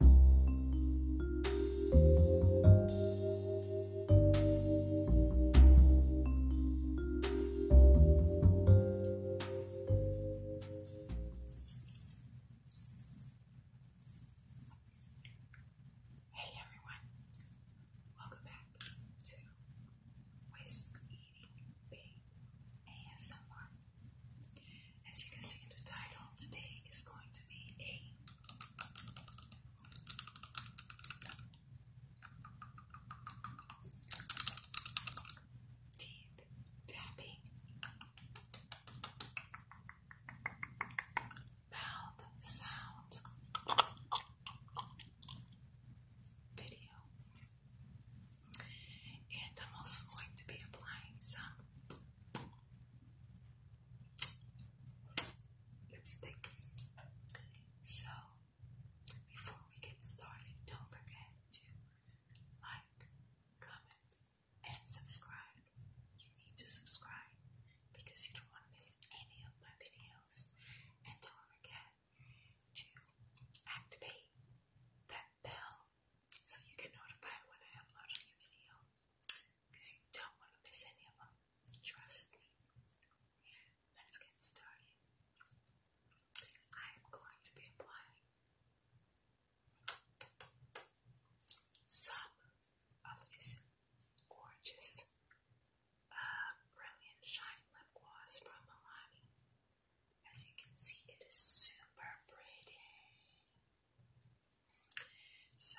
Hey everyone, welcome back to Whisk Eating Big as you can see in the title, today is going to be a teeth tapping, mouth sound video. And I'm also going to be applying some lipstick. So, before we get started, don't forget to like, comment, and subscribe. You need to subscribe because you don't want to miss any of my videos. And don't forget to activate that bell so you get notified when I upload a new video. Because you don't want to miss any of them. Trust me. Let's get started. I'm going to be applying some of this gorgeous, uh, brilliant shine lip gloss from Milani. As you can see, it is super pretty. So,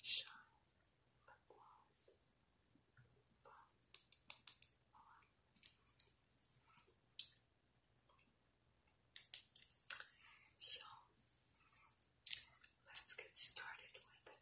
Shine lip gloss from Milano. So let's get started with it.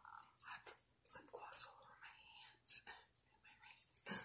I have lip gloss all over my hands and my ring.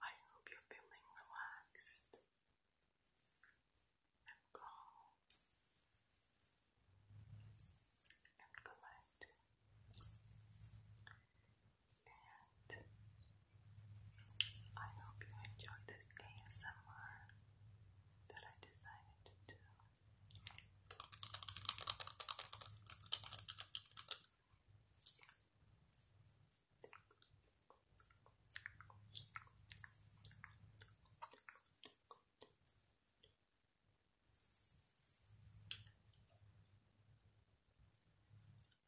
I hope you're feeling relaxed calm and collected and I hope you enjoyed this ASMR that I decided to do.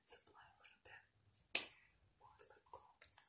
Let's apply a little bit more lip gloss.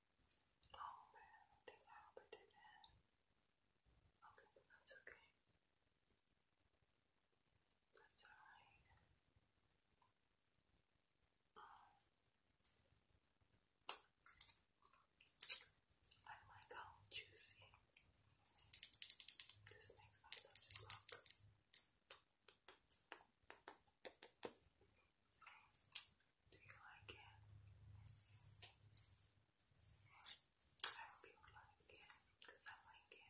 Oh man, I think I hope I Okay, that's okay. That's alright. I like how juicy this makes my lips look. Do you like it? I hope you like it because I like it.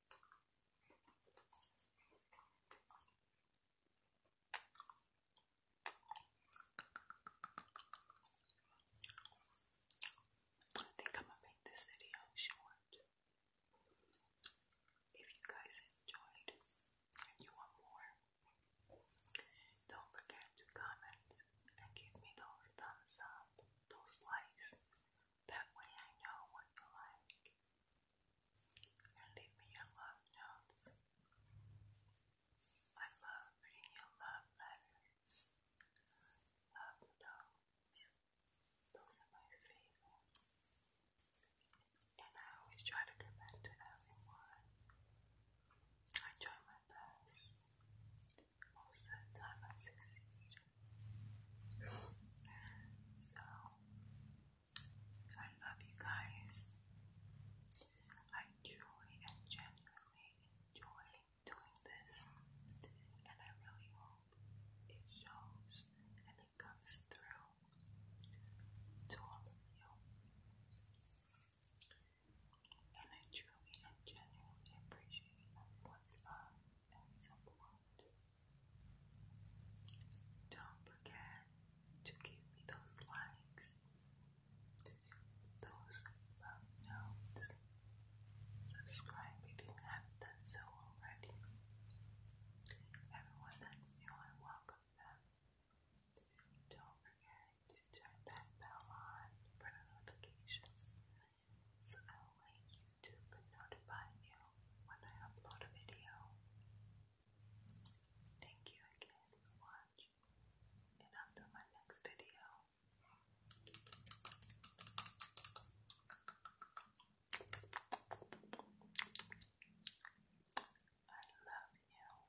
I think I'm gonna make this video short. If you guys enjoyed and you want more, don't forget to comment and give me those thumbs up, those likes, that way I know what you like. And leave me your love notes. I love reading your love letters. Love notes. Those are my favorite. And I always try to get back to everyone. I try my best. Most of the time I succeed. So, I love you guys. I truly and genuinely enjoy doing this, and I really hope it shows and it comes through to all of you. And I truly and genuinely appreciate everyone's love and Don't forget to give me those likes, those love notes. Subscribe if you haven't done so already. Everyone that's new, welcome them. Don't forget to turn that bell on for notifications so that way YouTube notify you when I upload a video. Thank you again for watching, and until my next video. I love you.